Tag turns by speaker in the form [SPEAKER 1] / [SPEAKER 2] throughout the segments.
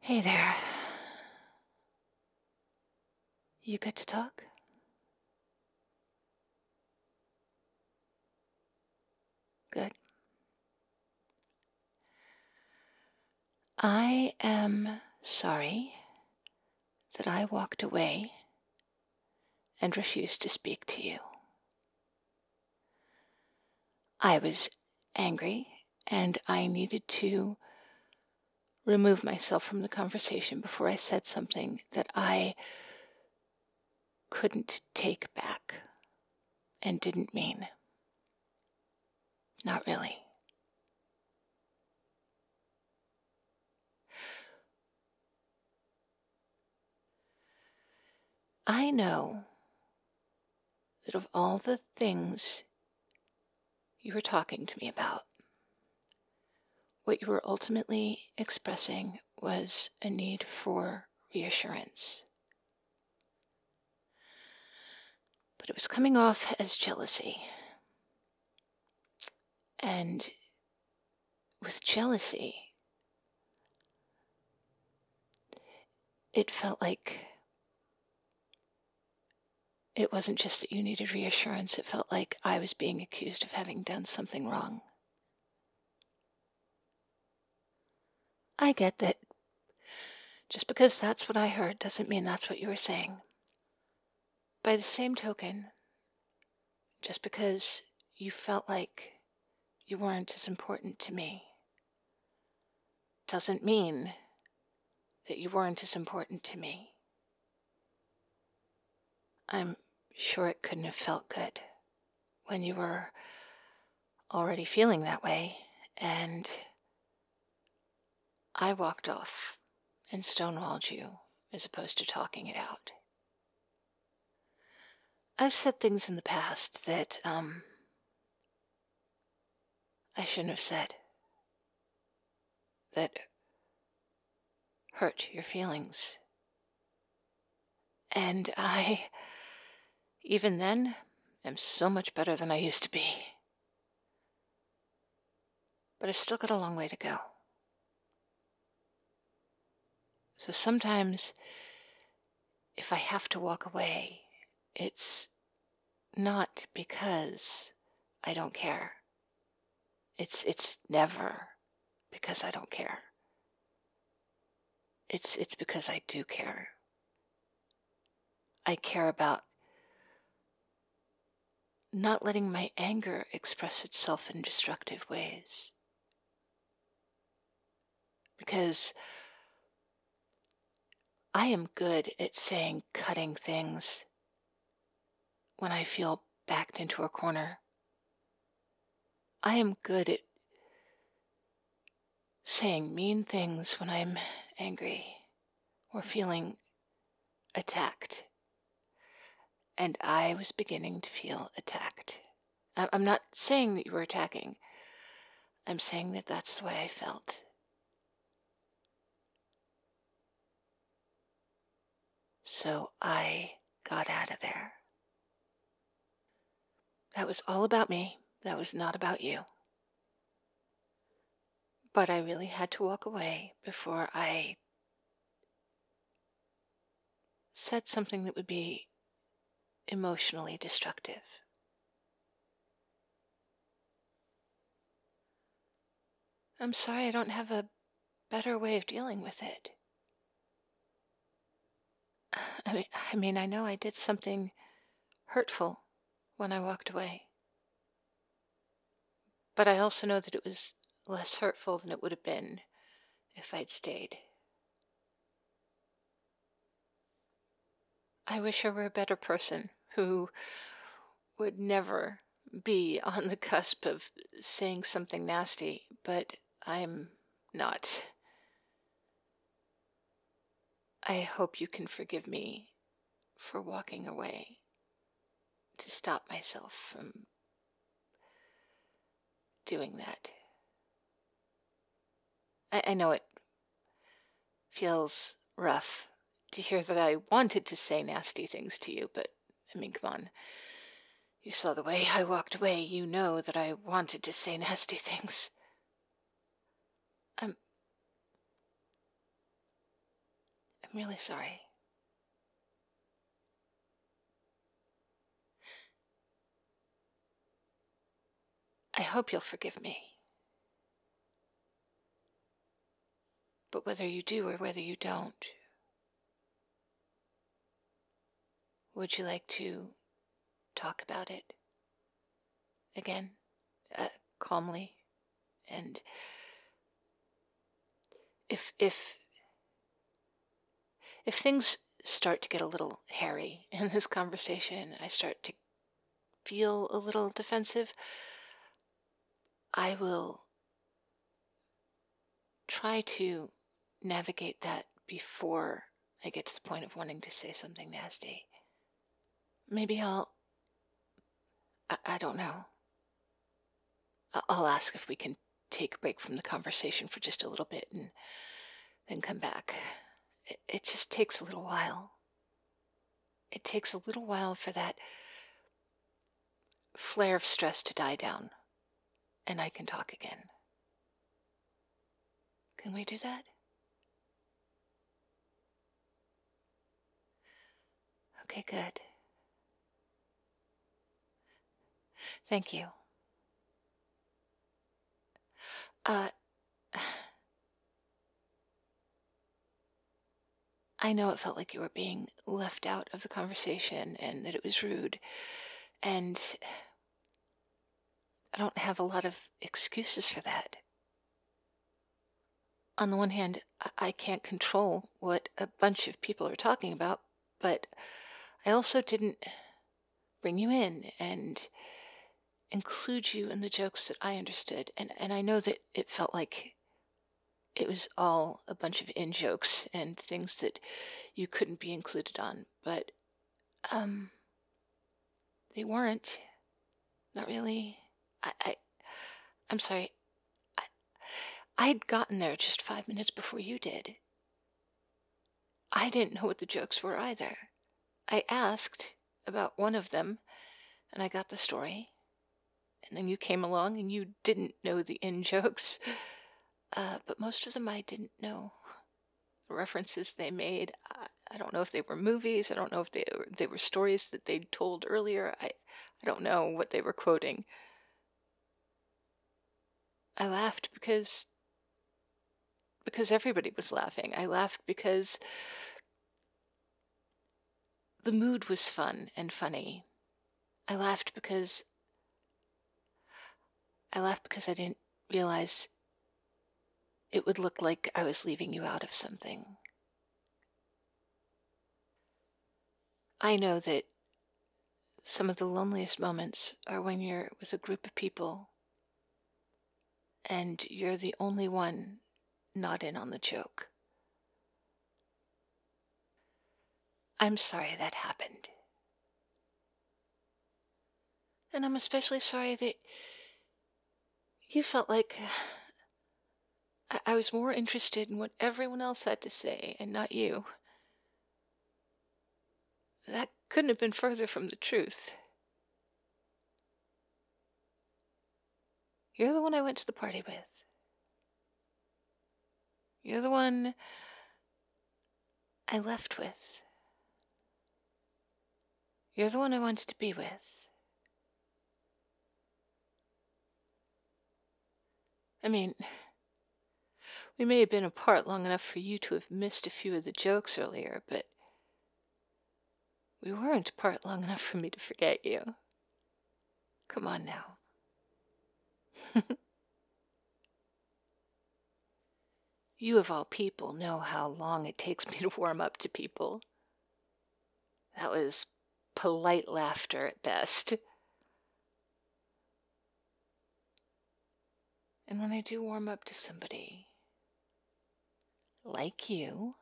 [SPEAKER 1] Hey there. You good to talk? Good. I am sorry that I walked away and refused to speak to you. I was angry and I needed to remove myself from the conversation before I said something that I couldn't take back and didn't mean. Not really. I know that of all the things you were talking to me about, what you were ultimately expressing was a need for reassurance. But it was coming off as jealousy. And with jealousy. It felt like it wasn't just that you needed reassurance, it felt like I was being accused of having done something wrong. I get that just because that's what I heard doesn't mean that's what you were saying. By the same token, just because you felt like you weren't as important to me doesn't mean that you weren't as important to me. I'm sure it couldn't have felt good when you were already feeling that way, and I walked off and stonewalled you as opposed to talking it out. I've said things in the past that um, I shouldn't have said, that hurt your feelings. And I, even then, am so much better than I used to be. But I've still got a long way to go. So sometimes if I have to walk away, it's not because I don't care. It's it's never because I don't care. It's it's because I do care. I care about not letting my anger express itself in destructive ways. Because I am good at saying cutting things when I feel backed into a corner. I am good at saying mean things when I'm angry or feeling attacked and I was beginning to feel attacked. I'm not saying that you were attacking, I'm saying that that's the way I felt. So I got out of there. That was all about me. That was not about you. But I really had to walk away before I said something that would be emotionally destructive. I'm sorry I don't have a better way of dealing with it. I mean, I mean, I know I did something hurtful when I walked away. But I also know that it was less hurtful than it would have been if I'd stayed. I wish I were a better person who would never be on the cusp of saying something nasty, but I'm not. I hope you can forgive me for walking away to stop myself from doing that. I, I know it feels rough to hear that I wanted to say nasty things to you, but I mean, come on. You saw the way I walked away. You know that I wanted to say nasty things. I'm. I'm really sorry. I hope you'll forgive me. But whether you do or whether you don't, would you like to talk about it again, uh, calmly and if if if things start to get a little hairy in this conversation, I start to feel a little defensive, I will try to navigate that before I get to the point of wanting to say something nasty. Maybe I'll. I, I don't know. I'll ask if we can take a break from the conversation for just a little bit and then come back. It, just takes a little while. It takes a little while for that flare of stress to die down, and I can talk again. Can we do that? Okay, good. Thank you. Uh, I know it felt like you were being left out of the conversation and that it was rude, and I don't have a lot of excuses for that. On the one hand, I can't control what a bunch of people are talking about, but I also didn't bring you in and include you in the jokes that I understood. And, and I know that it felt like it was all a bunch of in jokes and things that you couldn't be included on, but um, they weren't. Not really. I, I I'm sorry. I, I'd gotten there just five minutes before you did. I didn't know what the jokes were either. I asked about one of them, and I got the story. And then you came along and you didn't know the in jokes. Uh, but most of them I didn't know. The references they made, I, I don't know if they were movies, I don't know if they, they were stories that they'd told earlier. I, I, don't know what they were quoting. I laughed because because everybody was laughing. I laughed because the mood was fun and funny. I laughed because I laughed because I didn't realize it would look like I was leaving you out of something. I know that some of the loneliest moments are when you're with a group of people and you're the only one not in on the joke. I'm sorry that happened. And I'm especially sorry that you felt like I, was more interested in what everyone else had to say and not you. That couldn't have been further from the truth. You're the one I went to the party with. You're the one I left with. You're the one I wanted to be with. I mean, we may have been apart long enough for you to have missed a few of the jokes earlier, but we weren't apart long enough for me to forget you. Come on now. you, of all people, know how long it takes me to warm up to people. That was polite laughter at best. And when I do warm up to somebody like you,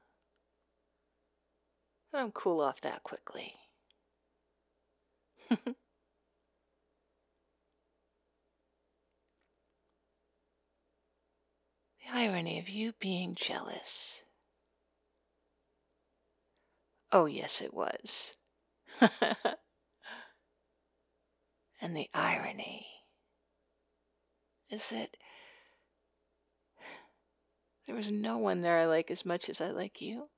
[SPEAKER 1] I don't cool off that quickly. the irony of you being jealous Oh, yes, it was. and the irony is that there was no one there I like as much as I like you.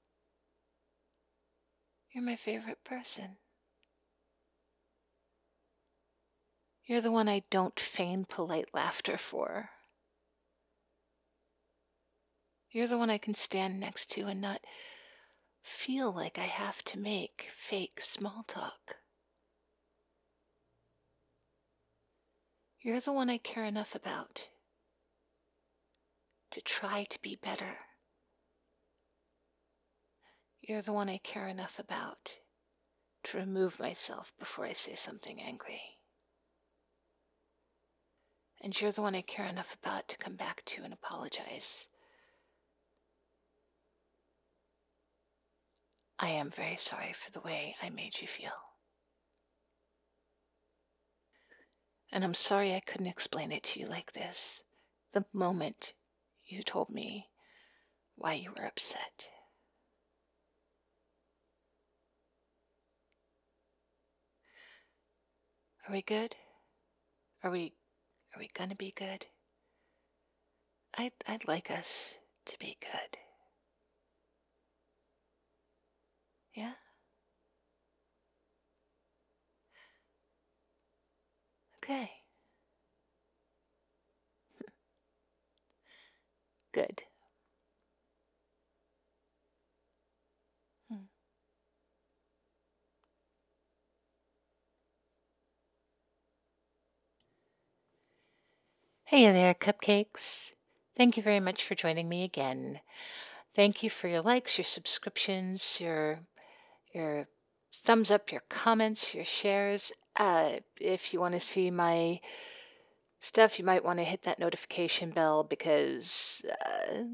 [SPEAKER 1] You're my favorite person. You're the one I don't feign polite laughter for. You're the one I can stand next to and not feel like I have to make fake small talk. You're the one I care enough about to try to be better. You're the one I care enough about to remove myself before I say something angry. And you're the one I care enough about to come back to and apologize. I am very sorry for the way I made you feel. And I'm sorry I couldn't explain it to you like this the moment you told me why you were upset. Are we good? Are we are we gonna be good? I'd I'd like us to be good. Yeah? Okay. Good. Hmm. Hey there, cupcakes. Thank you very much for joining me again. Thank you for your likes, your subscriptions, your your thumbs up, your comments, your shares, uh, if you want to see my stuff, you might want to hit that notification bell because uh,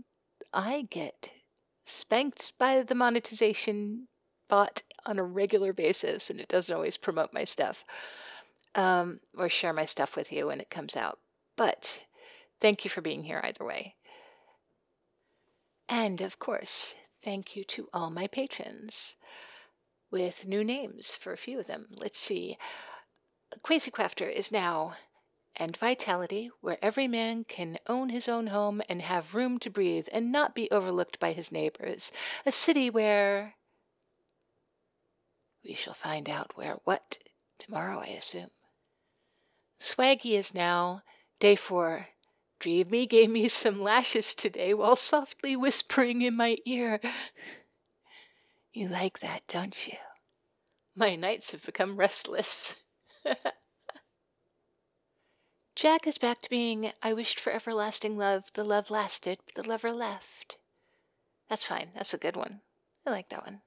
[SPEAKER 1] I get spanked by the monetization bot on a regular basis and it doesn't always promote my stuff um, or share my stuff with you when it comes out. But thank you for being here either way. And of course, thank you to all my patrons with new names for a few of them. Let's see. Quasi Crafter is now, and Vitality, where every man can own his own home and have room to breathe and not be overlooked by his neighbors. A city where. We shall find out where what tomorrow, I assume. Swaggy is now, day four. Dreamy gave me some lashes today while sawing whispering in my ear. You like that, don't you? My nights have become restless. Jack is back to being I wished for everlasting love, the love lasted, but the lover left. That's fine, that's a good one. I like that one.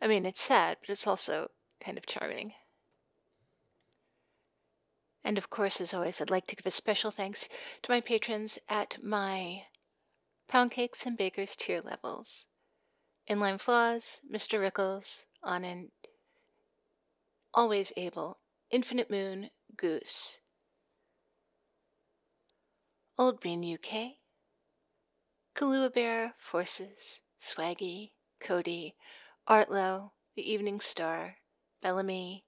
[SPEAKER 1] I mean, it's sad, but it's also kind of charming. And of course, as always, I'd like to give a special thanks to my patrons at my Pound Cakes and Bakers tier levels in Inline Flaws, Mr. Rickles, on Anand, Always Able, Infinite Moon, Goose, Old Bean UK, Kalua Forces, Swaggy, Cody, Artlow, The Evening Star, Bellamy,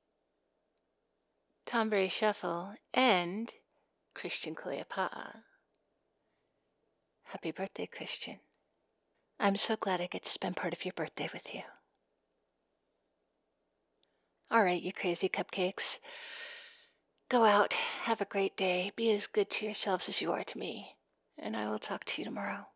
[SPEAKER 1] Tambere Shuffle, and Christian Cleopatra. Happy birthday, Christian. I'm so glad I get to spend part of your birthday with you. All right, you crazy cupcakes. Go out, have a great day, be as good to yourselves as you are to me, and I will talk to you tomorrow.